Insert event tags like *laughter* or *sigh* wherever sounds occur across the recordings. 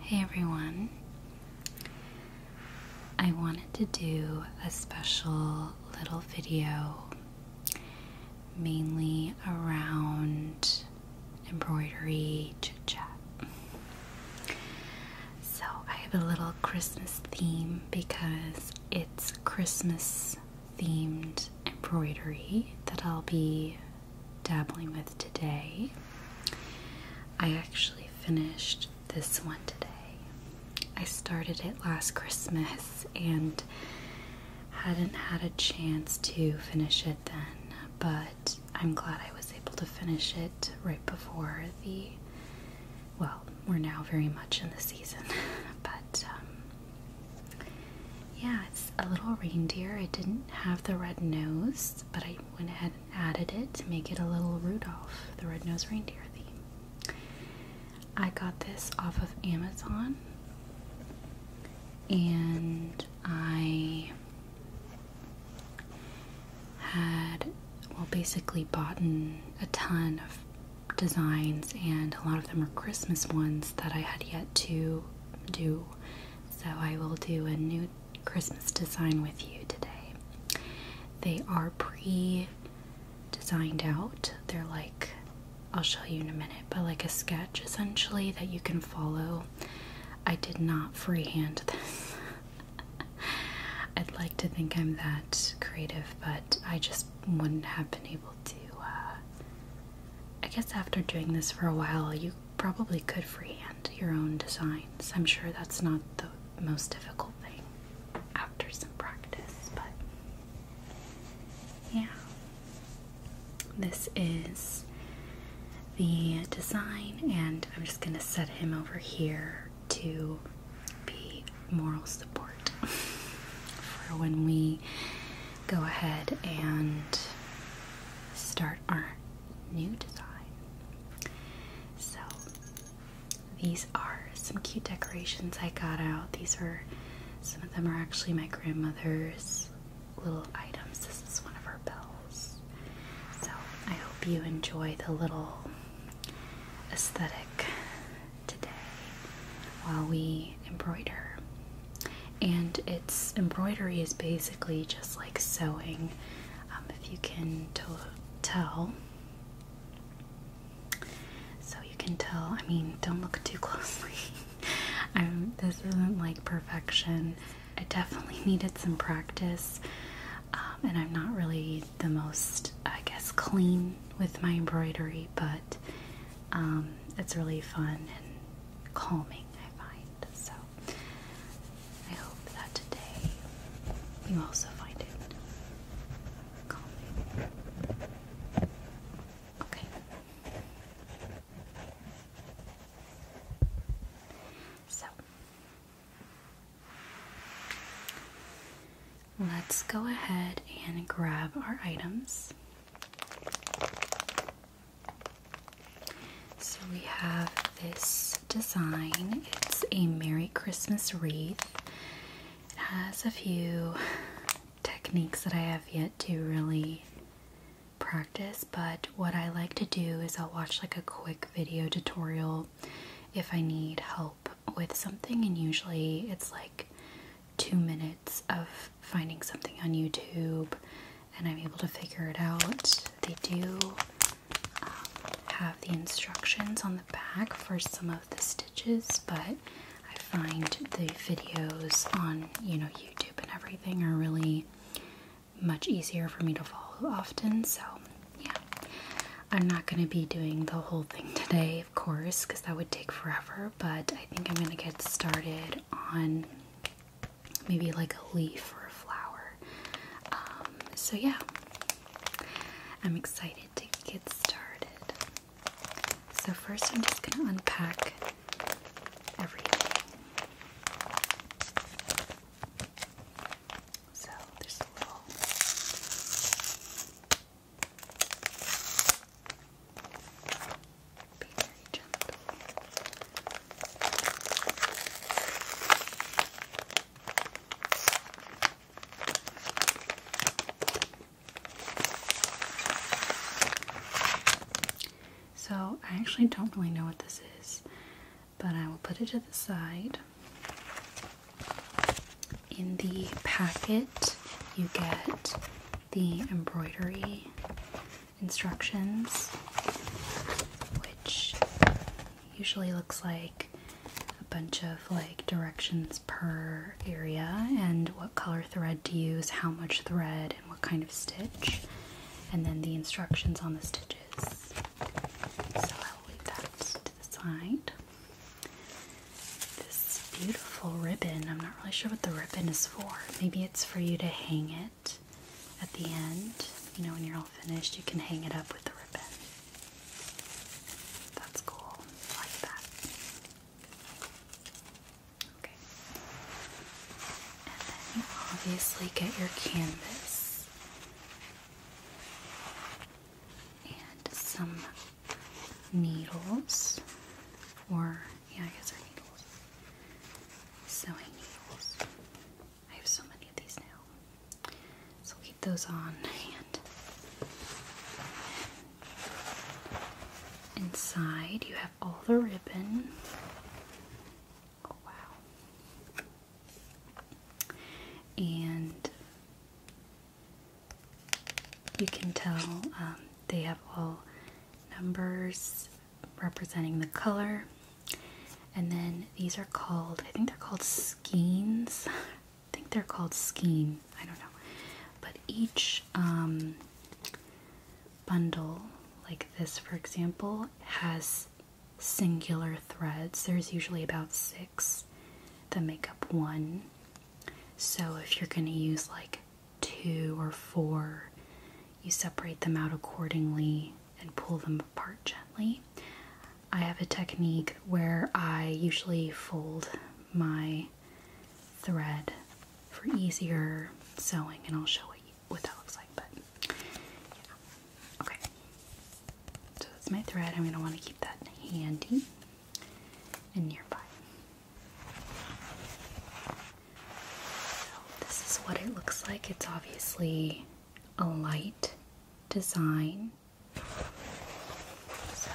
Hey everyone. I wanted to do a special little video mainly around embroidery chit So I have a little Christmas theme because it's Christmas themed embroidery that I'll be dabbling with today. I actually finished this one today. I started it last Christmas and hadn't had a chance to finish it then, but I'm glad I was able to finish it right before the well, we're now very much in the season, *laughs* but um, yeah, it's a little reindeer. It didn't have the red nose, but I went ahead and added it to make it a little Rudolph, the red-nosed reindeer theme. I got this off of Amazon, and I had well basically bought a ton of designs, and a lot of them are Christmas ones that I had yet to do. So I will do a new Christmas design with you today. They are pre designed out, they're like I'll show you in a minute, but like a sketch essentially that you can follow. I did not freehand *laughs* this. I'd like to think I'm that creative, but I just wouldn't have been able uh, I guess after doing this for a while, you probably could freehand your own designs. I'm sure that's not the most difficult thing after some practice, but yeah. This is the design, and I'm just gonna set him over here to be moral support for when we go ahead and start our new design. So, these are some cute decorations I got out. These are some of them are actually my grandmother's little items. This is one of her bells. So, I hope you enjoy the little aesthetic today while we embroider. And it's embroidery is basically just like sewing, um, if you can tell. So you can tell. I mean, don't look too *laughs* closely. um, this isn't like perfection. I definitely *laughs* needed some practice, um, and I'm not really the most, I guess, clean with my embroidery, but um, it's really fun and calming, I find. So I hope that today you also find it calming. Okay. So let's go ahead and grab our items. So we have this design. It's a Merry Christmas wreath. It has a few techniques that I have yet to really practice, but what I like to do is I'll watch like a quick video tutorial if I need help with something, and usually it's like two minutes of finding something on YouTube and I'm able to figure it out. They do um, have the instructions on the back for some of the stitches, but I find the videos on, you know, YouTube and everything are really much easier for me to follow often, so yeah. I'm not going to be doing the whole thing *laughs* today of course, because that would take forever, but I think I'm going to get started on maybe like a leaf or a flower. Um, so, yeah, I'm excited to get started. So, first, I'm just going to unpack everything. So, there's a little so, I actually don't really know what this is, but I will put it to the side. In the packet, you get the embroidery instructions, which usually looks like a bunch of like directions per area and what color thread to use, how much thread, and what kind of stitch, and then the instructions on the stitches. So I'll leave that to the side this beautiful ribbon. I'm not really sure what the ribbon is for. Maybe it's for you to hang it at the end. You know, when you're all finished, you can hang it up with the ribbon. That's cool. like that. Okay. And then you obviously get your canvas. And some needles, or yeah, I guess they're needles. Sewing needles. I have so many of these now, so keep those on hand. Inside, you have all the ribbon. Oh, wow. And you can tell um, they have all numbers representing the color. And then these are called, I think they're called skeins. *laughs* I think they're called skein. I don't know. But each um, bundle, like this for example, has singular threads. There's usually about six that make up one. So if you're going to use like two or four, you separate them out accordingly and pull them apart gently. I have a technique where I usually fold my thread for easier sewing, and I'll show you what that looks like. But yeah, okay. So that's my thread. I'm gonna want to keep that handy and nearby this is what it looks like. It's obviously a light design. So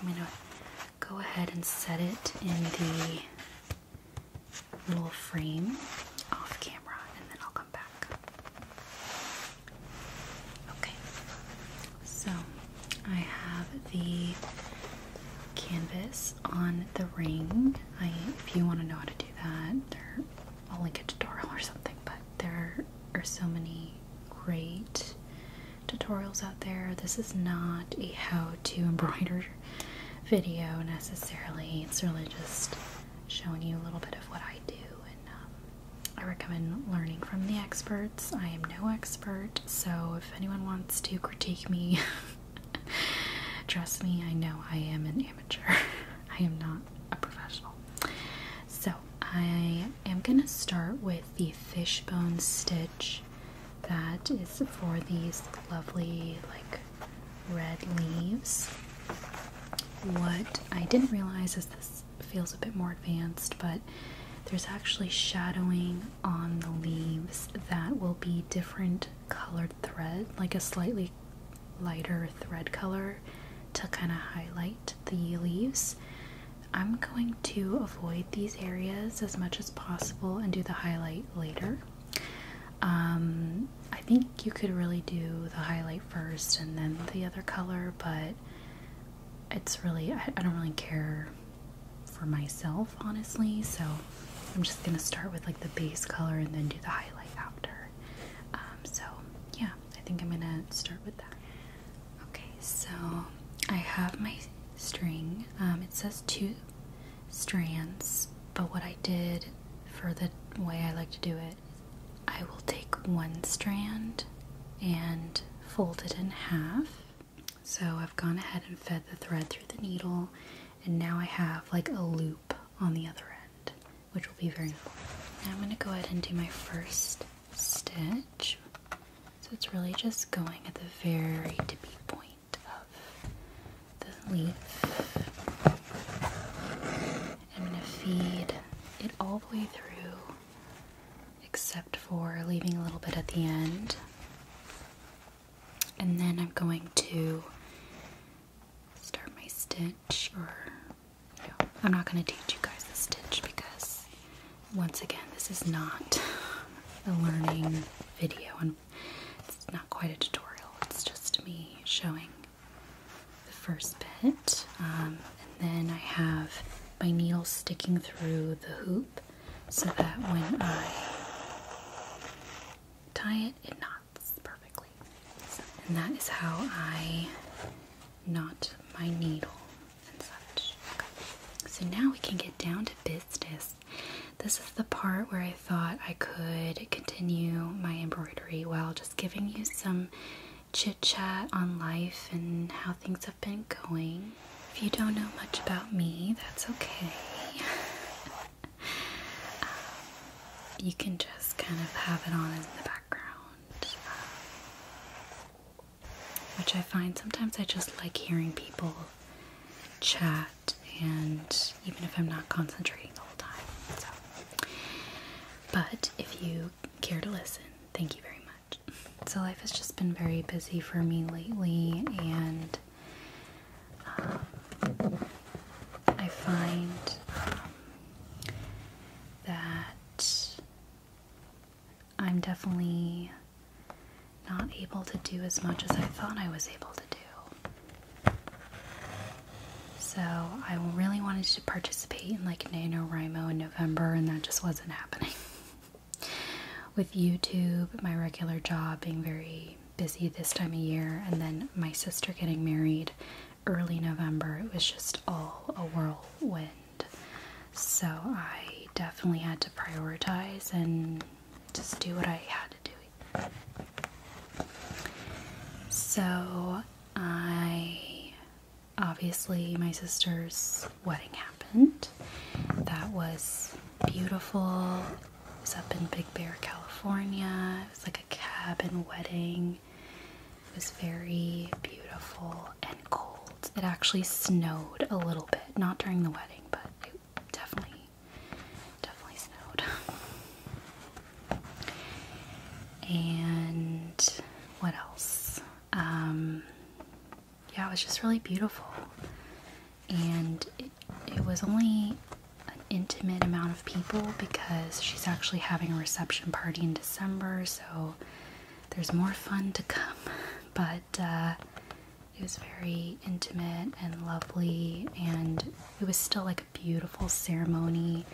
I'm gonna go ahead and set it in the little frame off camera and then I'll come back. Okay, so I have the canvas on the ring. I, if you want to know how to do that, I'll link a tutorial or something. But there are so many great tutorials out there. This is not a how-to embroider video necessarily. It's really just showing you a little bit of what I do, and um, I recommend learning from the experts. I am no expert, so if anyone wants to critique me *laughs* *laughs* Trust me, I know I am an amateur. *laughs* I am not a professional. So, I am going to start with the fishbone stitch that is for these lovely, like, red leaves. What I didn't realize is this feels a bit more advanced, but there's actually shadowing on the leaves that will be different colored thread, like a slightly lighter thread color to kind of highlight the leaves. I'm going to avoid these areas as much as possible and do the highlight later. Um, I think you could really do the highlight first and then the other color, but it's really, I don't really care for myself, honestly. So I'm just gonna start with like the base color and then do the highlight after. Um, so yeah, I think I'm gonna start with that. Okay, so I have my string. Um, it says two strands, but what I did for the way I like to do it, I will take one strand and fold it in half so I've gone ahead and fed the thread through the needle, and now I have like a loop on the other end, which will be very Now I'm going to go ahead and do my first stitch. So it's really just going at the very tip point of the leaf. I'm going to feed it all the way through, except for leaving a little bit at the end and then I'm going to start my stitch or I'm not going to teach you guys the stitch because once again this is not a learning video and it's not quite a tutorial it's just me showing the first bit um, and then I have my needle sticking through the hoop so that when I tie it, it knots perfectly. and that is how I knot my needle and such. So now we can get down to business. This is the part where I thought I could continue my embroidery while just giving you some chit chat on life and how things have been going if you don't know much about me, that's okay. Um, you can just kind of have it on in the background, um, which I find sometimes I just like hearing people chat, and even if I'm not concentrating the whole time. So. But if you care to listen, thank you very much. So, life has just been very busy for me lately, and um, I find um, that I'm definitely not able to do as much as I thought I was able to do. So I really wanted to participate in like NaNoWriMo in November and that just wasn't happening. *laughs* with YouTube, my regular job being very busy this time of year, and then my sister getting married early November, it was just all a whirlwind. So I definitely had to prioritize and just do what I had to do. So I obviously my sister's wedding happened. That was beautiful it was up in Big Bear, California. It was like a cabin wedding. It was very beautiful and cold. It actually snowed a little bit, not during the wedding, but it definitely, definitely snowed. And what else? Um, yeah, it was just really beautiful and it, was only an intimate amount of people because she's actually having a reception party in December, so there's more fun to come. *laughs* But uh, it was very intimate and lovely, and it was still like a beautiful ceremony.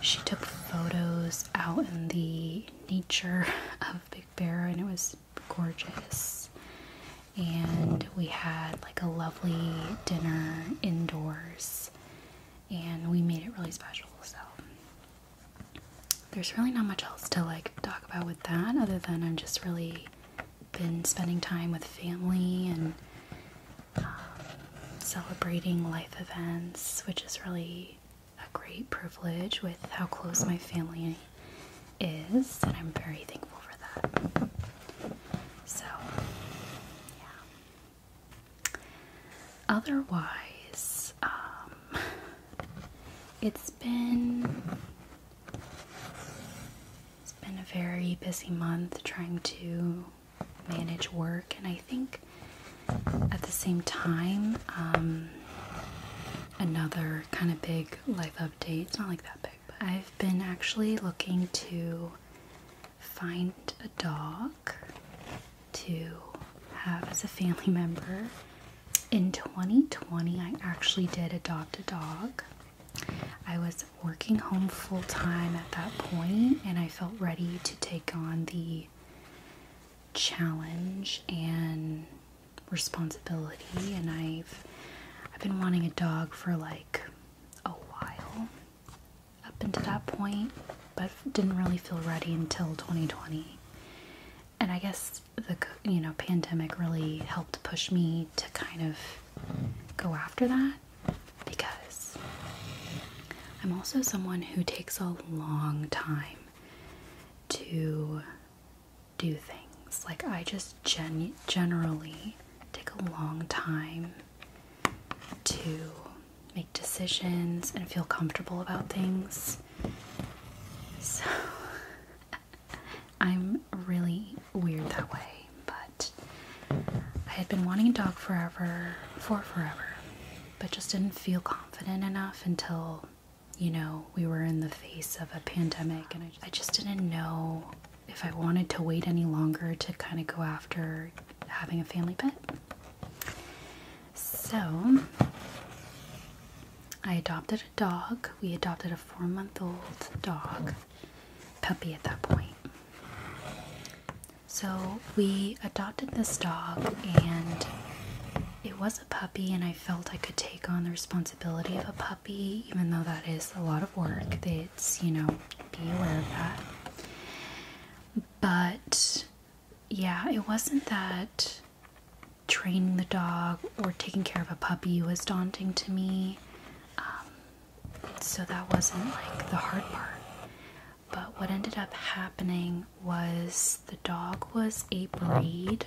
She took photos out in the nature *laughs* of Big Bear, and it was gorgeous. And we had like a lovely dinner indoors, and we made it really special. So, there's really not much else to like talk about with that, other than I've just really been spending time with family and um, celebrating life events, which is really a great privilege with how close my family is, and I'm very thankful for that. So, yeah. Otherwise, um, it's been it's been a very busy month trying to manage work, and I think at the same time, um, another kind of big life update. It's not like that big. I've been actually looking to find a dog to have as a family *laughs* member. In 2020, I actually did adopt a dog. I was working home full time at that point, and I felt ready to take on the challenge and responsibility and I've I've been wanting a dog for like a while up until that point, but didn't really feel ready until 2020. And I guess the you know pandemic really helped push me to kind of go after that because I'm also someone who takes a long time to do things. Like, I just gen generally take a long time to make decisions and feel comfortable about things. So, *laughs* I'm really weird that way, but I had been wanting a dog forever, for forever, but just didn't feel confident enough until, you know, we were in the face of a pandemic and I I just didn't know if I wanted to wait any longer to kind of go after having a family pet. So I adopted a dog. We adopted a four month old dog, puppy at that point. So we adopted this dog, and it was a puppy, and I felt I could take on the responsibility of a puppy even though that is a lot of work. It's, you know, be aware of that. But yeah, it wasn't that training the dog or taking care of a puppy was daunting to me. Um, so that wasn't like the hard part. But what ended up happening was the dog was a breed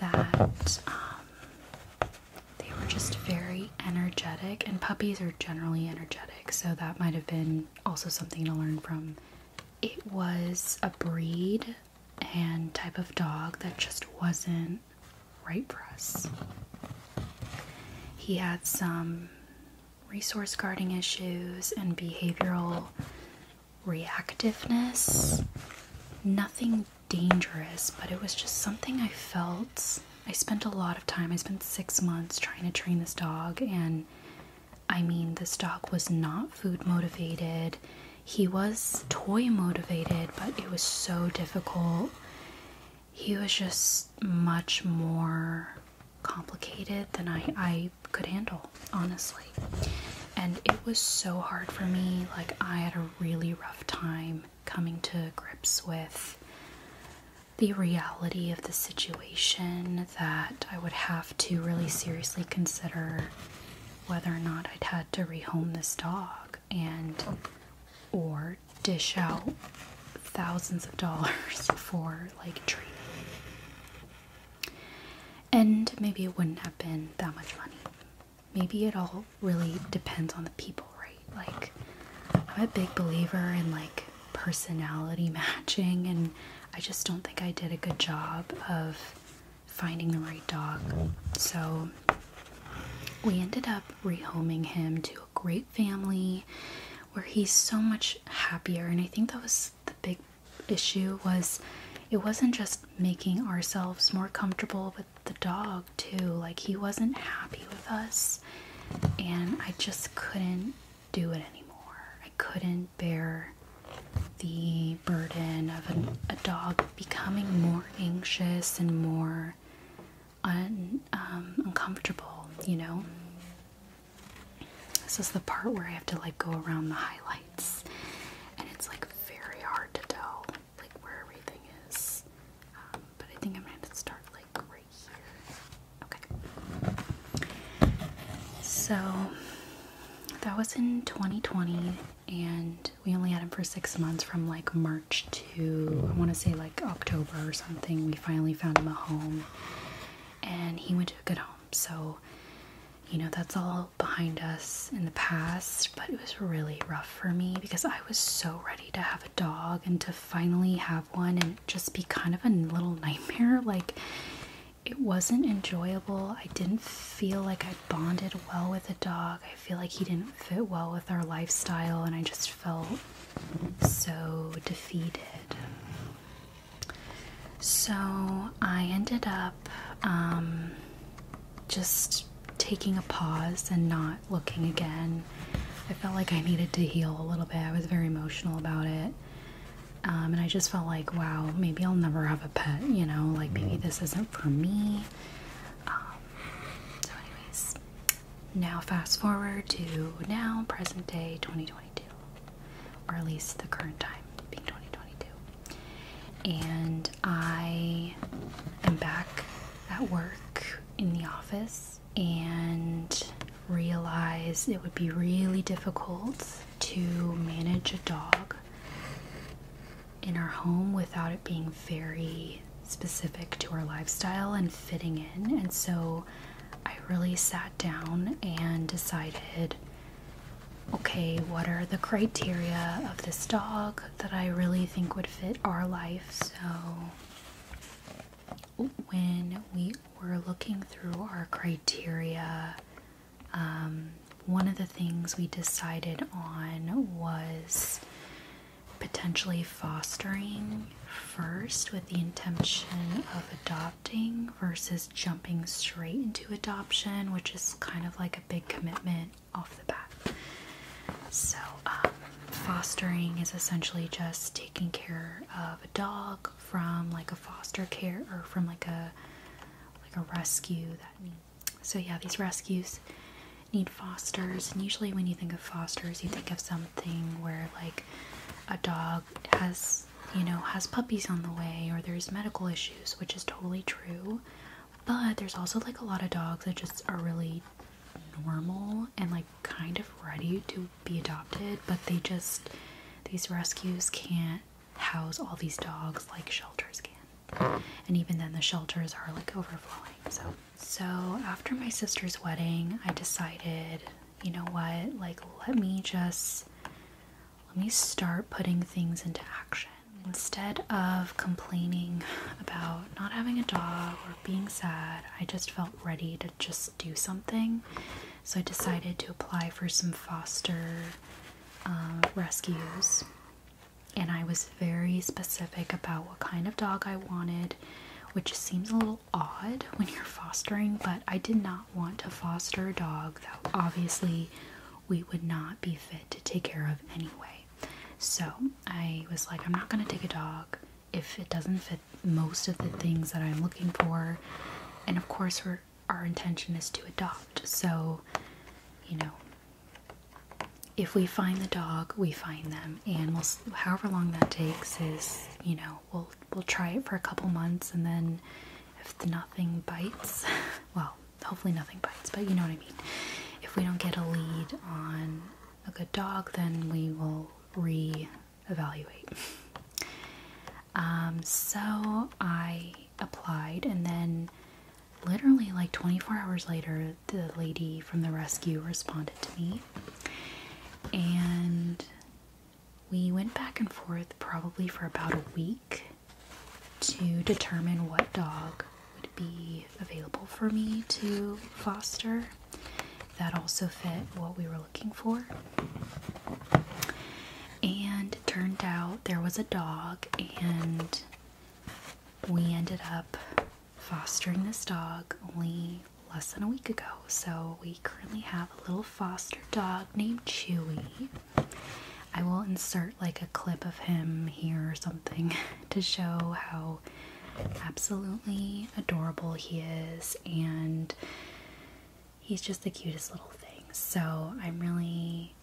that um, they were just very energetic, and puppies are generally energetic, so that might have been also something to learn from. It was a breed and type of dog that just wasn't right for us. He had some resource guarding issues and behavioral reactiveness. Nothing dangerous, but it was just something I felt. I spent a lot of time, I spent six months trying to train this dog, and I mean, this dog was not food motivated. He was toy motivated, but it was so difficult. He was just much more complicated than I, I could handle, honestly. And it was so hard for me. Like, I had a really rough time coming to grips with the reality of the situation that I would have to really seriously consider whether or not I'd had to rehome this dog and or dish out thousands of dollars *laughs* for like treatment. And maybe it wouldn't have been that much money maybe it all really depends on the people, right? Like, I'm a big believer in like personality *laughs* matching, and I just don't think I did a good job of finding the right dog. So, we ended up rehoming him to a great family where he's so much happier, and I think that was the big issue was it wasn't just making ourselves more comfortable the dog too. Like he wasn't happy with us, and I just couldn't do it anymore. I couldn't bear the burden of a dog becoming more anxious and more um, uncomfortable, you know? This is the part where I have to like go around the highlights, and it's like very hard to tell like where everything is. Um, but I think I'm going to start like right here. Okay. So that was in 2020, and we only had him for six months from like March to I want to say like October or something. We finally found him a home, and he went to a good home. So, you know, that's all behind us in the past, but it was really rough for me because I was so ready to have a dog and to finally have one and just be kind of a little nightmare. *laughs* Like, it wasn't enjoyable. I didn't feel like I bonded well with a dog. I feel like he didn't fit well with our lifestyle, and I just felt so defeated. So I ended up um, just taking a pause and not looking again. I felt like I needed to heal a little bit. I was very emotional about it. Um, and I just felt like, wow, maybe I'll never have a pet, you know? Like, maybe mm-hmm. this isn't for me. Um, so, anyways, now fast forward to now, present day 2022, or at least the current time being 2022. And I am back at work in the office and realized it would be really difficult to manage a dog in our home without it being very specific to our lifestyle and fitting in. And so I really sat down and decided okay, what are the criteria of this dog that I really think would fit our life. So when we were looking through our criteria, um, one of the things we decided on was potentially fostering first with the intention of adopting versus jumping straight into adoption, which is kind of like a big commitment off the bat. So, um, fostering is essentially just taking care of a dog from like a foster care or from like a like a rescue. That So yeah, these rescues need fosters, and usually when you think of fosters, you think of something where like a dog has you know has puppies on the way or there's medical issues, which is totally true. But there's also like a lot of dogs that just are really normal and like kind of ready to be adopted, but they just these rescues can't house all these dogs like shelters can. And even then the shelters are like overflowing. So so after my sister's wedding, I decided, you know what? Like let me just let me start putting things into action. Instead of complaining about not having a dog or being sad, I just felt ready to just do something. So I decided to apply for some foster uh, rescues. And I was very specific about what kind of dog I wanted, which seems a little odd when you're fostering, but I did not want to foster a dog that obviously we would not be fit to take care of anyway. So I was like, I'm not going to take a dog if it doesn't fit most of the things that I'm looking for. And of course, our intention is to adopt. So, you know, if we find the dog, we find them, and we'll, however long that takes is, you know, we'll we'll try it for a couple months, and then if nothing bites, *laughs* well, hopefully nothing bites, but you know what I mean. If we don't get a lead on a good dog, then we will re-evaluate. Um, so I applied, and then literally like 24 hours later, the lady from the rescue responded to me, and we went back and forth probably for about a week to determine what dog would be available for me to foster. That also fit what we were looking for. And turned out there was a dog, and we ended up fostering this dog only less than a week ago. So we currently have a little foster dog named Chewy. I will insert like a clip of him here or something *laughs* to show how absolutely adorable he is, and he's just the cutest little thing. So, I'm really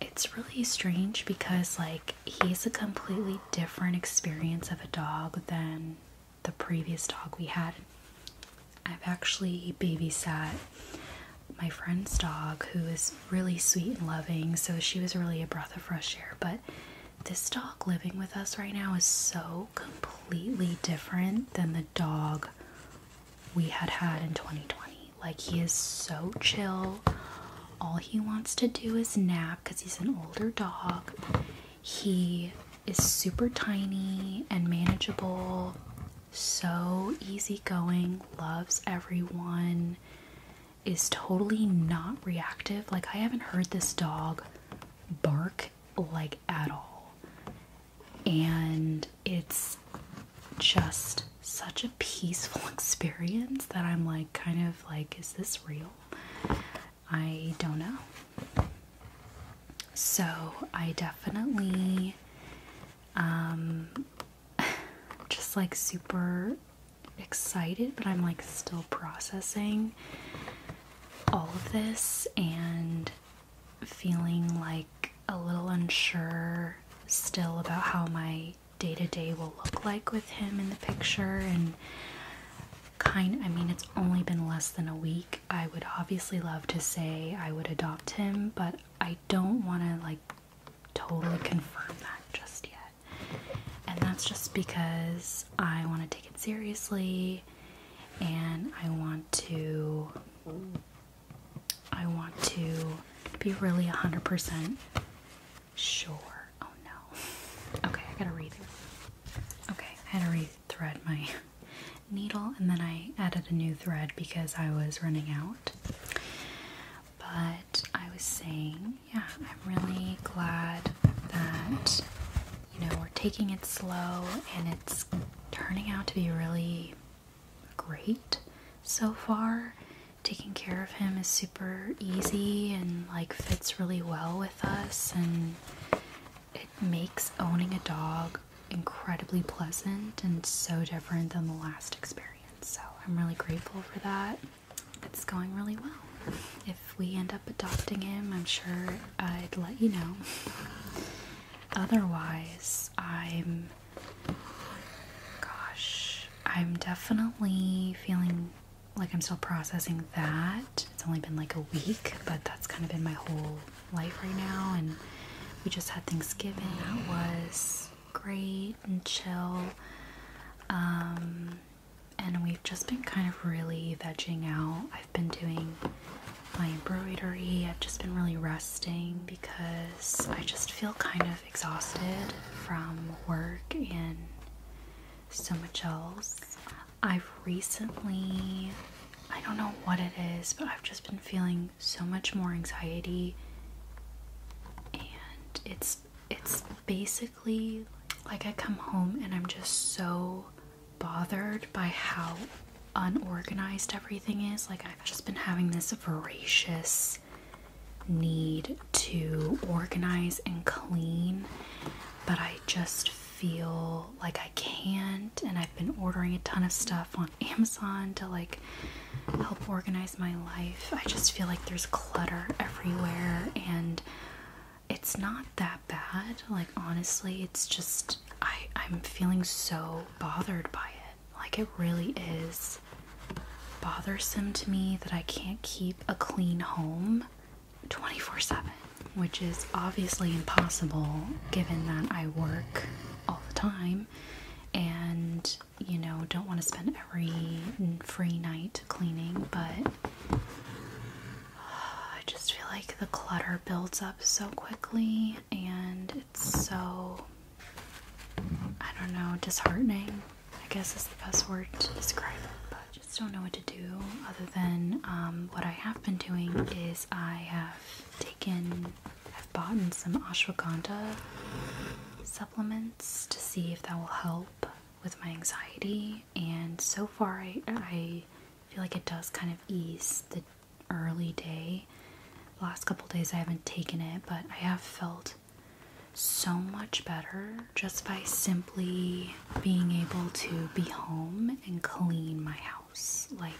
it's really strange because like he's a completely different experience of a dog than the previous dog we had. I've actually babysat my friend's dog who is really sweet and loving, so she was really a breath of fresh air, but this dog living with us right now is so completely different than the dog we had had in 2020. Like, he is so chill. All he wants to do is nap because he's an older dog. He is super tiny and manageable, so easygoing, loves everyone is totally not reactive. Like, I haven't heard this dog bark like at all. And it's just such a peaceful *laughs* experience that I'm like, kind of like, is this real? I don't know. So, I definitely um *laughs* just like super excited, but I'm like still processing all of this and feeling like a little unsure still about how my day to day will look like with him in the picture and kind I mean it's only been less than a week. I would obviously love to say I would adopt him, but I don't want to like totally confirm that just yet and that's just because I want to take it seriously and I want to I want to be really 100% sure. Oh no. *laughs* Okay, I gotta rethread. Okay, I had to rethread my *laughs* needle and then I added a new thread because I was running out. But I was saying, yeah, I'm really glad that, you know, we're taking it slow and it's turning out to be really great so far. Taking care of him is super easy and like fits really well with us, and it makes owning a dog incredibly pleasant and so different than the last experience. So I'm really grateful for that it's going really well. If we end up adopting him, I'm sure I'd let you know. Otherwise, I'm. Gosh, I'm definitely feeling like I'm still processing that. It's only been like a week, but that's kind of been my whole life right now. And we just had Thanksgiving. That was great and chill. Um, and we've just been kind of really vegging out. I've been doing my embroidery, I've just been really resting because I just feel kind of exhausted from work and so much else. I've recently, I don't know what it is, but I've just been feeling so much more anxiety and it's it's basically like I come home and I'm just so bothered by how unorganized everything is. Like I've just been having this voracious need to organize and clean, but I just feel like I can't and I've been ordering a ton of stuff on Amazon to like help organize my life. I just feel like there's clutter everywhere and it's not that bad. Like honestly, it's just I I'm feeling so bothered by it. Like it really is bothersome to me that I can't keep a clean home 24/7, which is obviously impossible given that I work all the time and you know don't want to spend every free night cleaning, but I just feel like the clutter builds up so quickly and it's so, I don't know, disheartening. I guess is the best word to describe it, but just don't know what to do other than um, what I have been doing is I have taken, I've bought some ashwagandha supplements to see if that will help with my anxiety, and so far I, feel like it does kind of ease the early day. last couple days I haven't taken it, but I have felt so much better just by simply being able to be home and clean my house. Like,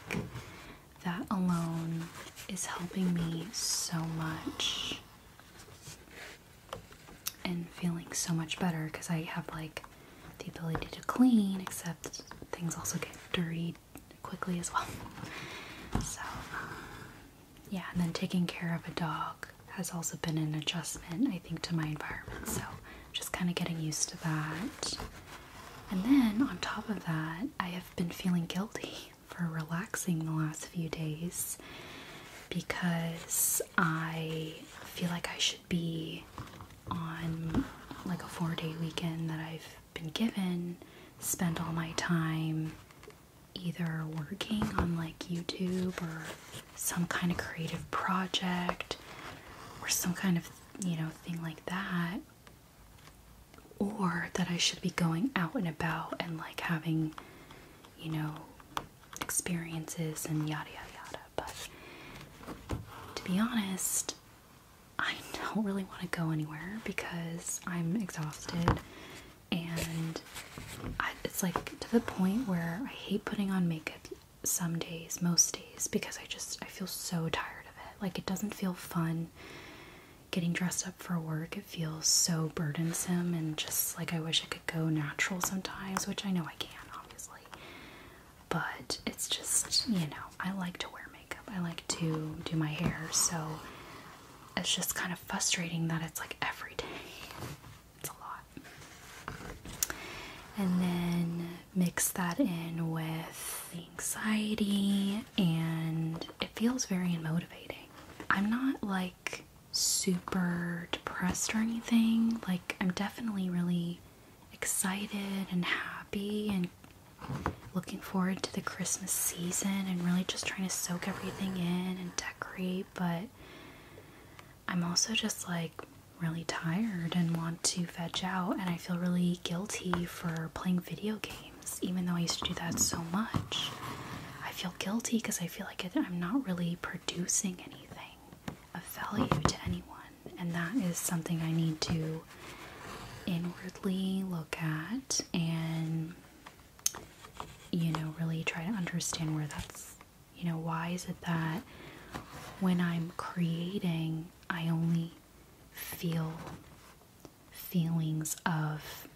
that alone is helping me so much and feeling so much better because I have like the ability to clean, except things also get dirty quickly as well. *laughs* So, um, yeah, and then taking care of a dog has also been an adjustment, I think, to my environment. So, just kind of getting used to that. And then on top of that, I have been feeling guilty *laughs* for relaxing the last few days because I feel like I should be on like a four day weekend that I've been given, spend all my time either working on like YouTube or some kind of creative project or some kind of you know thing like that or that I should be going out and about and like having you know experiences and yada yada yada. But to be honest, I don't really want to go anywhere because I'm exhausted and it's like to the point where I hate putting on makeup some days, most days, because I just I feel so tired of it. Like it doesn't feel fun getting dressed up for work. It feels so burdensome and just like I wish I could go natural sometimes, which I know I can, obviously. But it's just, you know, I like to wear makeup. I like to do my hair, so it's just kind of frustrating that it's like every day. It's a lot. And then mix that in with anxiety, and it feels very motivating. I'm not like super depressed or anything. Like, I'm definitely really excited and happy and looking forward to the Christmas season and really just trying to soak everything in and decorate. But I'm also just like really tired and want to veg out, and I feel really guilty for playing video games, even though I used to do that so much. I feel guilty because I feel like I'm not really producing anything of value to anyone. And that is something I need to inwardly look at and, you know, really try to understand where that's, you know, why is it that when I'm creating, I only feel feelings of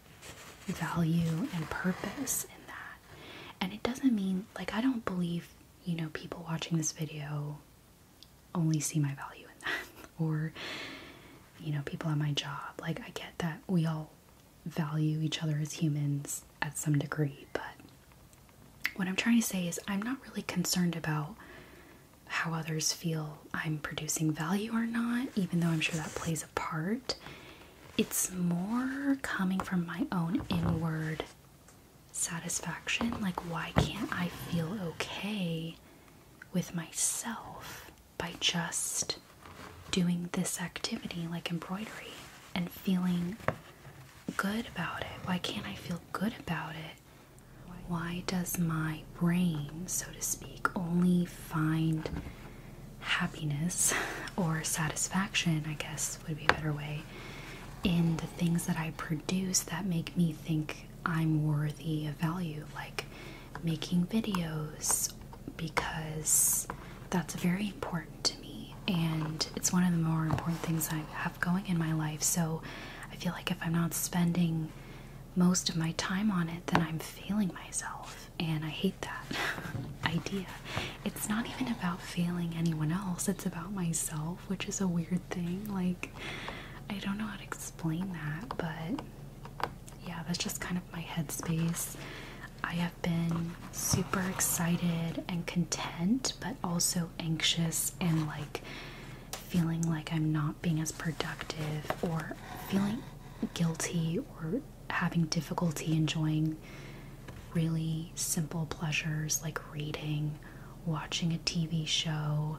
value and purpose in that. And it doesn't mean like I don't believe, you know, people watching this video only see my value in that *laughs* or you know, people at my job. Like I get that we all value each other as humans at some degree, but what I'm trying to say is I'm not really concerned about how others feel I'm producing value or not, even though I'm sure that plays a part it's more coming from my own inward satisfaction. Like, why can't I feel okay with myself by just doing this activity like embroidery and feeling good about it? Why can't I feel good about it? Why does my brain, so to speak, only find happiness *laughs* or satisfaction? I guess would be a better way in the things that I produce that make me think I'm worthy of value, like making videos, because that's very important to me and it's one of the more important things I have going in my life. So I feel like if I'm not spending most of my time on it, then I'm failing myself, and I hate that *laughs* idea it's not even about failing anyone else, it's about myself, which is a weird thing. Like, I don't know how to explain that, but yeah, that's just kind of my headspace. I have been super excited and content, but also anxious and like feeling like I'm not being as productive or feeling guilty or having difficulty enjoying really simple pleasures like reading, watching a TV show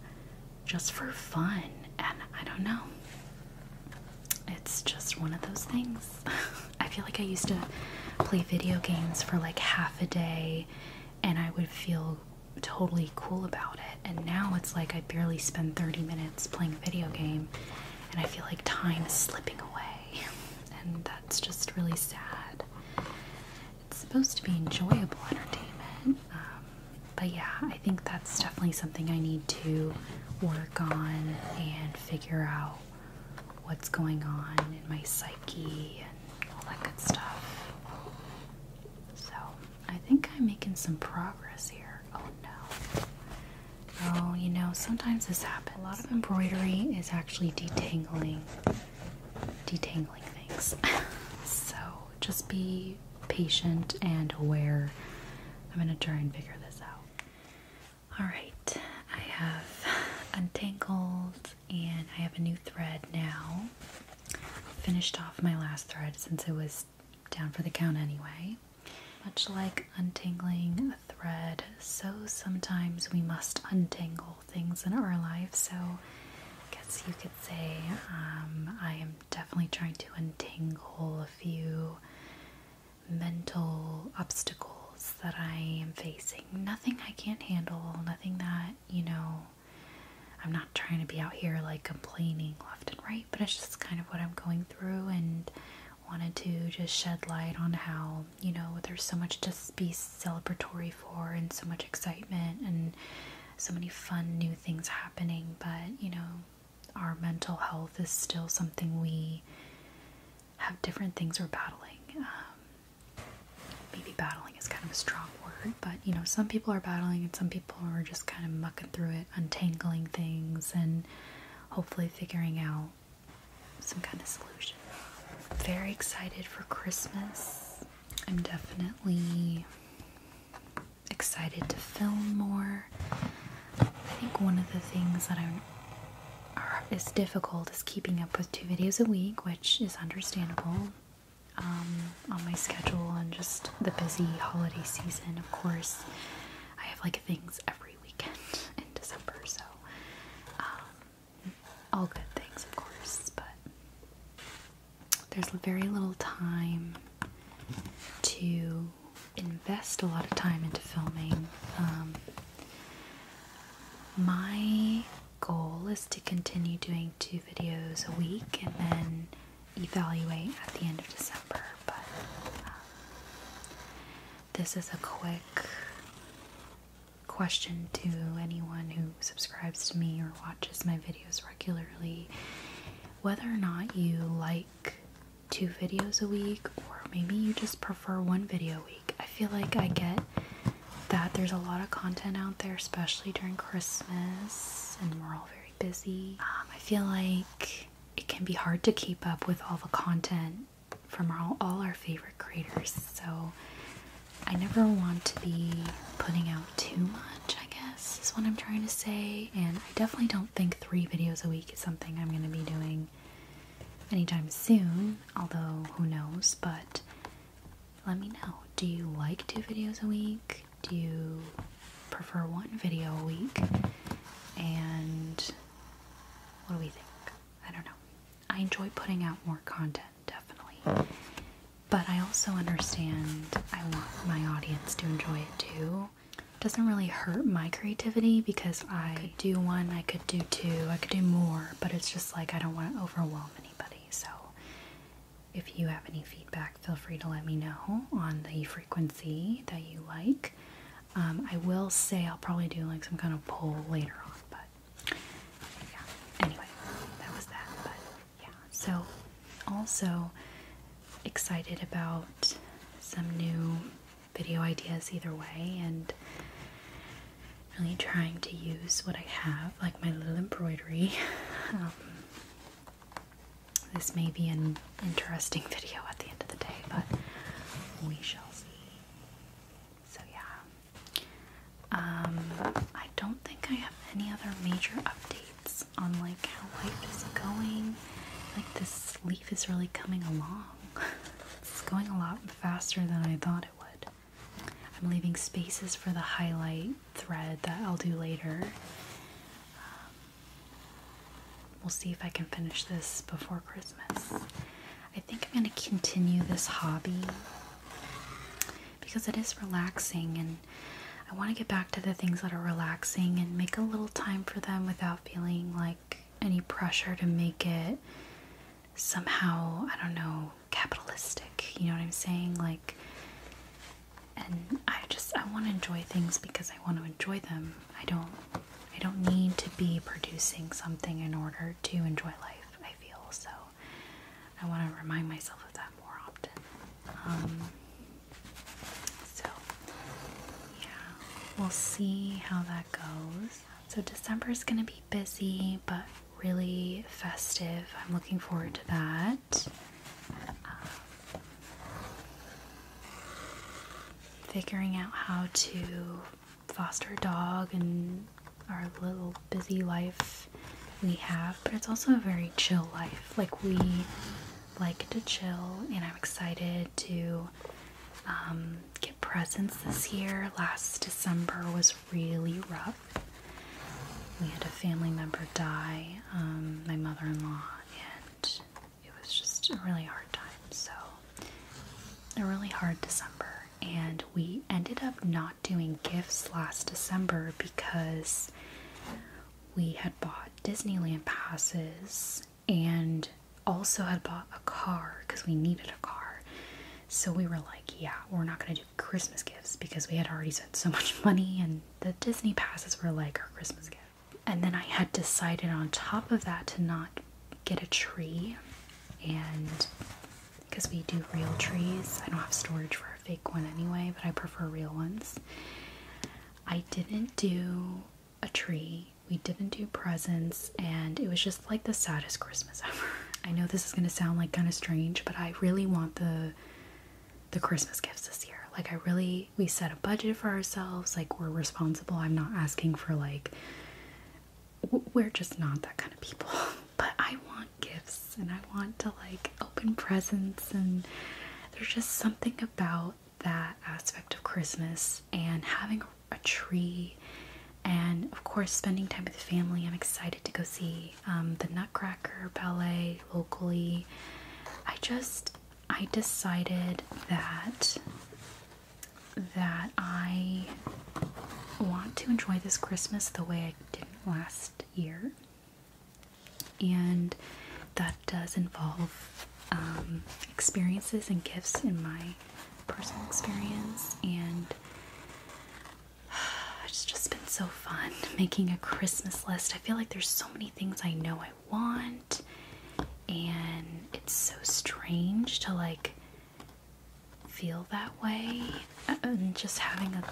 just for fun. And I don't know, it's just one of those things. *laughs* I feel like I used to play video games for like half a day and I would feel totally cool about it. And now it's like I barely spend 30 minutes playing a video game and I feel like time is slipping away. *laughs* and that's just really sad. It's supposed to be enjoyable entertainment, um, but yeah, I think that's definitely something I need to work on and figure out what's going on in my psyche and all that good stuff. So I think I'm making some progress here. Oh no. Oh, you know, sometimes this happens. A lot of embroidery is actually detangling, detangling things. *laughs* so just be patient and aware. I'm gonna try and figure this out. All right, I have untangled and I have a new thread now. Finished off my last thread since it was down for the count anyway. Much like untangling a thread, so sometimes we must untangle things in our life. So, I guess you could say um, I am definitely trying to untangle a few mental obstacles that I am facing. Nothing I can't handle, nothing that, you know, I'm not trying to be out here like complaining left and right, but it's just kind of what I'm going through and wanted to just shed light on how you know, there's so much to be celebratory for and so much excitement and so many fun new things happening, but you know, our mental health is still something we have different things we're battling. Um, maybe battling is kind of a strong word, but you know, some people are battling and some people are just kind of mucking through it, untangling things, and hopefully figuring out some kind of solution. Very excited for Christmas. I'm definitely excited to film more. I think one of the things that I'm are, is difficult is keeping up with two videos a week, which is understandable um, on my schedule and just the busy holiday season. Of course, I have like things every weekend *laughs* in December, so um, all good things, of course, but there's very little time to invest a lot of time into filming. Um, my goal is to continue doing two videos a week and then evaluate at the end of December, but um, this is a quick question to anyone who subscribes to me or watches my videos regularly whether or not you like two videos a week or maybe you just prefer one video a week. I feel like I get that there's a lot of content out there, especially during Christmas, and we're all very busy. Um, I feel like it can be hard to keep up with all the content from all, our favorite creators, so I never want to be putting out too much, I guess, is what I'm trying to say. And I definitely don't think three videos a week is something I'm going to be doing anytime soon, although who knows. But let me know do you like two videos a week? Do you prefer one video a week? And what do we think? I don't know. I enjoy putting out more content, definitely. But I also understand I want my audience to enjoy it too. It doesn't really hurt my creativity because I could do one, I could do two, I could do more, but it's just like I don't want to overwhelm anybody. So if you have any feedback, feel free to let me know on the frequency that you like. Um, I will say I'll probably do like some kind of poll later on, but yeah. Anyway, that was that. But yeah, so also excited about some new video ideas either way, and really trying to use what I have, like my little embroidery. *laughs* Um, this may be an interesting *laughs* video at the end of the day, but we shall see. So, yeah, um, I don't think I have any other major updates on like how life is going. Like this leaf is really coming along. *laughs* it's going a lot faster than I thought it would. I'm leaving spaces for the highlight thread that I'll do later. Um, we'll see if I can finish this before Christmas. I think I'm going to continue this hobby because it is relaxing and I want to get back to the things that are relaxing and make a little time for them without feeling like any pressure to make it somehow, I don't know, capitalistic. You know what I'm saying? Like, and I just, I want to enjoy things because I want to enjoy them. I don't, I don't need to be producing something in order to enjoy life feel. So I want to remind myself of that more often. Um, so, yeah, we'll see how that goes. So, December is going to be busy but really festive. I'm looking forward to that. Um, figuring out how to foster dog and our little busy life we have, but it's also a very chill life. Like, we like to chill, and I'm excited to um, get presents this year. Last December was really rough. We had a family member die, um, my mother in law, and it was just a really hard time. So, a really hard December and we ended up not doing gifts last December because we had bought Disneyland passes and also had bought a car because we needed a car. So we were like, yeah, we're not going to do Christmas gifts because we had already spent so much money and the Disney passes were like our Christmas gift. And then I had decided on top of that to not get a tree and because we do real trees. I don't have storage for a fake one anyway, but I prefer real ones. I didn't do a tree, we didn't do presents, and it was just like the saddest Christmas ever. *laughs* I know this is gonna sound like kind of strange, but I really want the the Christmas gifts this year. Like I really we set a budget for ourselves, like we're responsible. I'm not asking for like we're just not that kind of people. *laughs* But I want gifts and I want to like open presents, and there's just something about that aspect of Christmas and having a tree, and of course, spending time with the family. I'm excited to go see um, the Nutcracker Ballet locally. I just I decided that that I want to enjoy this Christmas the way I did last year, and that does involve um, experiences and gifts in my personal experience. And *sighs* it's just been so fun making a Christmas list. I feel like there's so many things I know I want, and it's so strange to like feel that way and uh-uh, just having a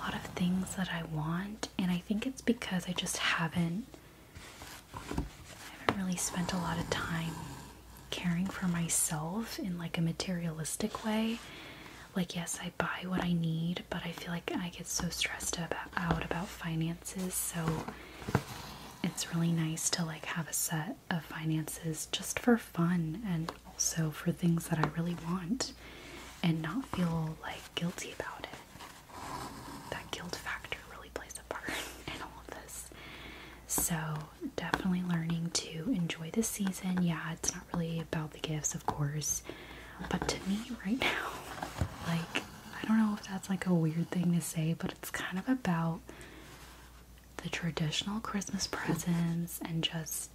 lot of things that I want and I think it's because I just haven't haven't really spent a lot of time caring for myself in like a materialistic way. Like yes, I buy what I need, but I feel like I get so stressed out about finances, so it's really nice to like have a set of finances just for fun and also for things that I really want and not feel like guilty about it. That guilt factor really plays a part *laughs* in all of this. So, definitely learning to enjoy the season. Yeah, it's not really about the gifts, of course, but to me, right *laughs* now, like, I don't know if that's like a weird thing to say, but it's kind of about the traditional Christmas presents and just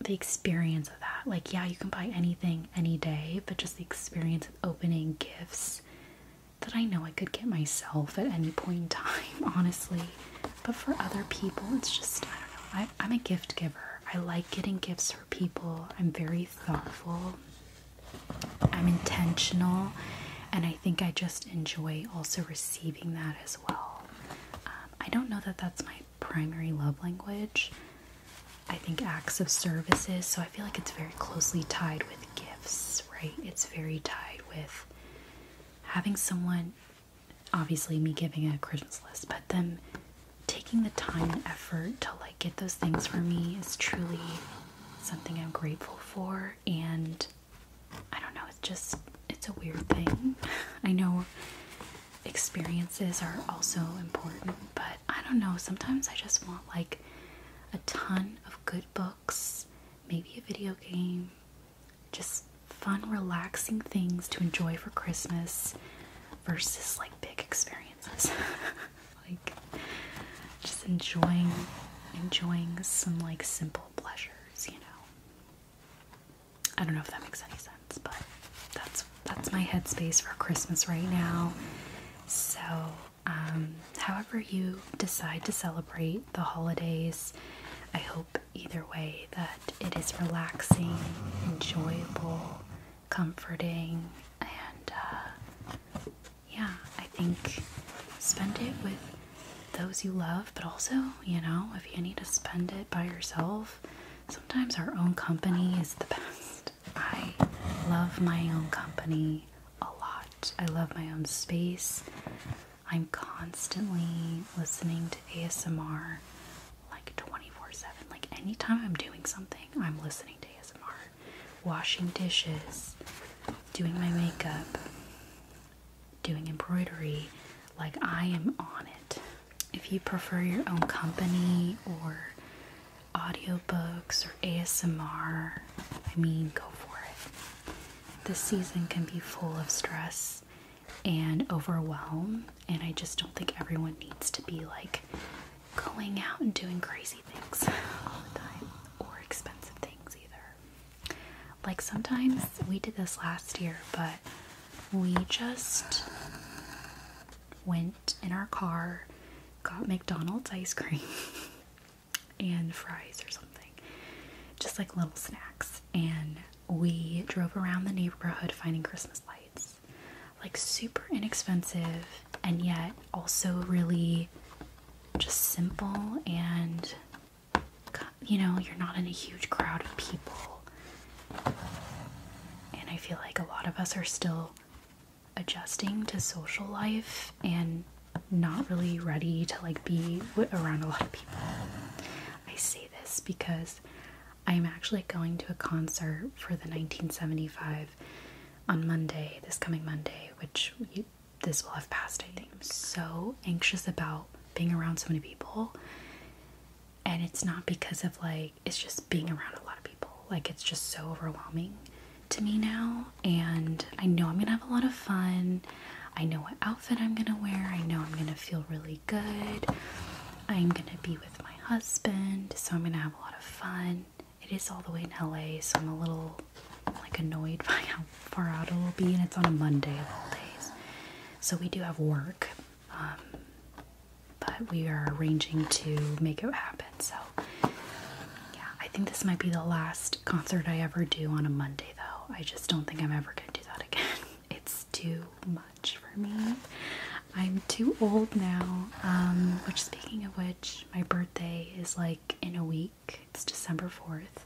the experience of that. Like, yeah, you can buy anything any day, but just the experience of opening gifts that I know I could get myself at any point in time, *laughs* honestly. But for other people, it's just, I don't know. I, am a gift giver. I like getting gifts for people. I'm very thoughtful. I'm intentional. And I think I just enjoy also receiving that as well well. Um, I don't know that that's my primary love language. I think acts of services, so I feel like it's very closely tied with gifts, right? It's very tied with having someone, obviously, me giving a Christmas list, but then taking the time and effort to like get those things for me is truly something I'm grateful for and I don't know, it's just, it's a weird thing. *laughs* I know experiences are also important, but I don't know, sometimes I just want like a ton of good books, maybe a video game, just fun, relaxing things to enjoy for Christmas versus like big experiences. *laughs* like just enjoying enjoying some like simple pleasures, you know. I don't know if that makes any sense, but that's that's my headspace for Christmas right now. So, um, however you decide to celebrate the holidays, I hope either way that it is relaxing, enjoyable, comforting, and uh, yeah, I think spend it with those you love, but also, you know, if you need to spend it by yourself, sometimes our own company is the best. I love my own company a lot. I love my own space. I'm constantly listening to ASMR like 24 7. Like anytime I'm doing something, I'm listening to ASMR. Washing dishes, doing my makeup, doing embroidery like I am on it. If you prefer your own company or audiobooks or ASMR, I mean, go for it. This season can be full of stress and overwhelm, and I just don't think everyone needs to be like going out and doing crazy things all the time or expensive things either. Like sometimes we did this last year, but we just went in our car, got McDonald's ice cream *laughs* and fries or something, just like little snacks. And we drove around the neighborhood finding Christmas lights. Like super inexpensive and yet also really just simple and you know, you're not in a huge crowd of people. And I feel like a lot of us are still adjusting to social life and not really ready to like be around a lot of people. I say this because I'm actually going to a concert for the 1975 on Monday, this coming Monday, which this will have passed, I think. I'm so anxious about being around so many people. And it's not because of like, it's just being around a lot of people. Like, it's just so overwhelming to me now. And I know I'm gonna have a lot of fun. I know what outfit I'm gonna wear. I know I'm gonna feel really good. I'm gonna be with my husband. So I'm gonna have a lot of fun. It is all the way in LA, so I'm a little like annoyed *laughs* by how far out it will be, and it's on a Monday of all days. So we do have work, um, but we are arranging to make it happen. So, yeah, I think this might be the last concert I ever do on a Monday, though. I just don't think I'm ever gonna do that again. *laughs* It's too much for me. I'm too old now. Um, which, speaking of which, my birthday is like in a week. It's December 4th.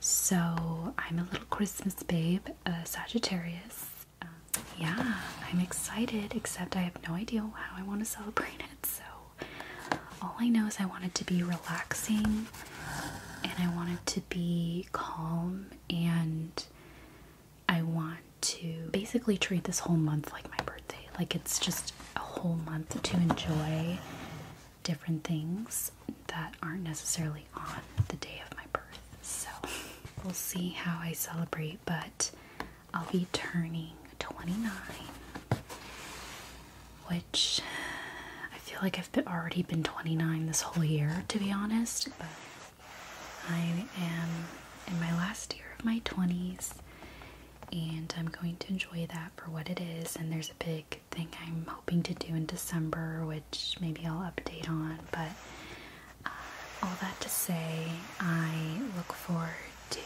So I'm a little Christmas babe, a Sagittarius. Um, yeah, I'm excited, except I have no idea how I want to celebrate it. So all I know is I want it to be relaxing and I want it to be calm and I want to basically treat this whole month like my birthday. Like it's just a whole month to enjoy different things that aren't necessarily on the day of my birth. So we'll see how I celebrate, but I'll be turning 29, which I feel like I've already been 29 this whole year, to be honest. But I am in my last year of my 20s, and I'm going to enjoy that for what it is. And there's a big thing I'm hoping to do in December, which maybe I'll update on. But uh, all that to say, I look forward to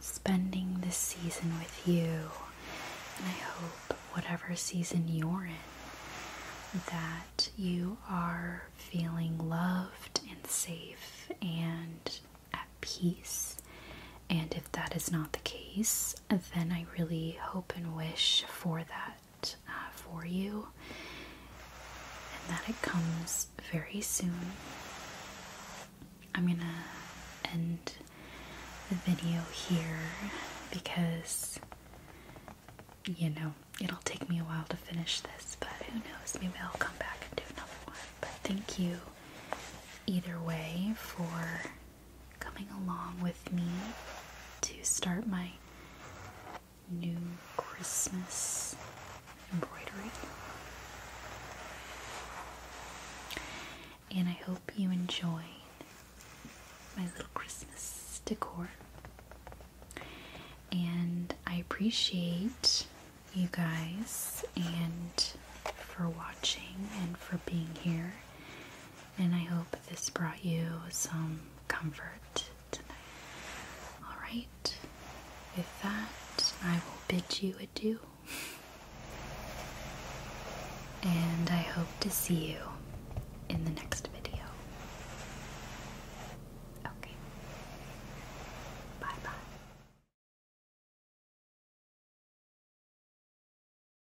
spending this season with you, and I hope whatever season you're in, that you are feeling loved and safe and at peace. And if that is not the case, then I really hope and wish for that uh, for you and that it comes very soon. I'm gonna end the video here because you know it'll take me a while to finish this, but who knows? Maybe I'll come back and do another one. But thank you either way for coming along with me to start my new Christmas embroidery. And I hope you enjoy my little Christmas decor. And I appreciate you guys and for watching and for being here and I hope this brought you some comfort tonight. Alright, with that, I will bid you adieu, and I hope to see you in the next video. Okay, bye bye.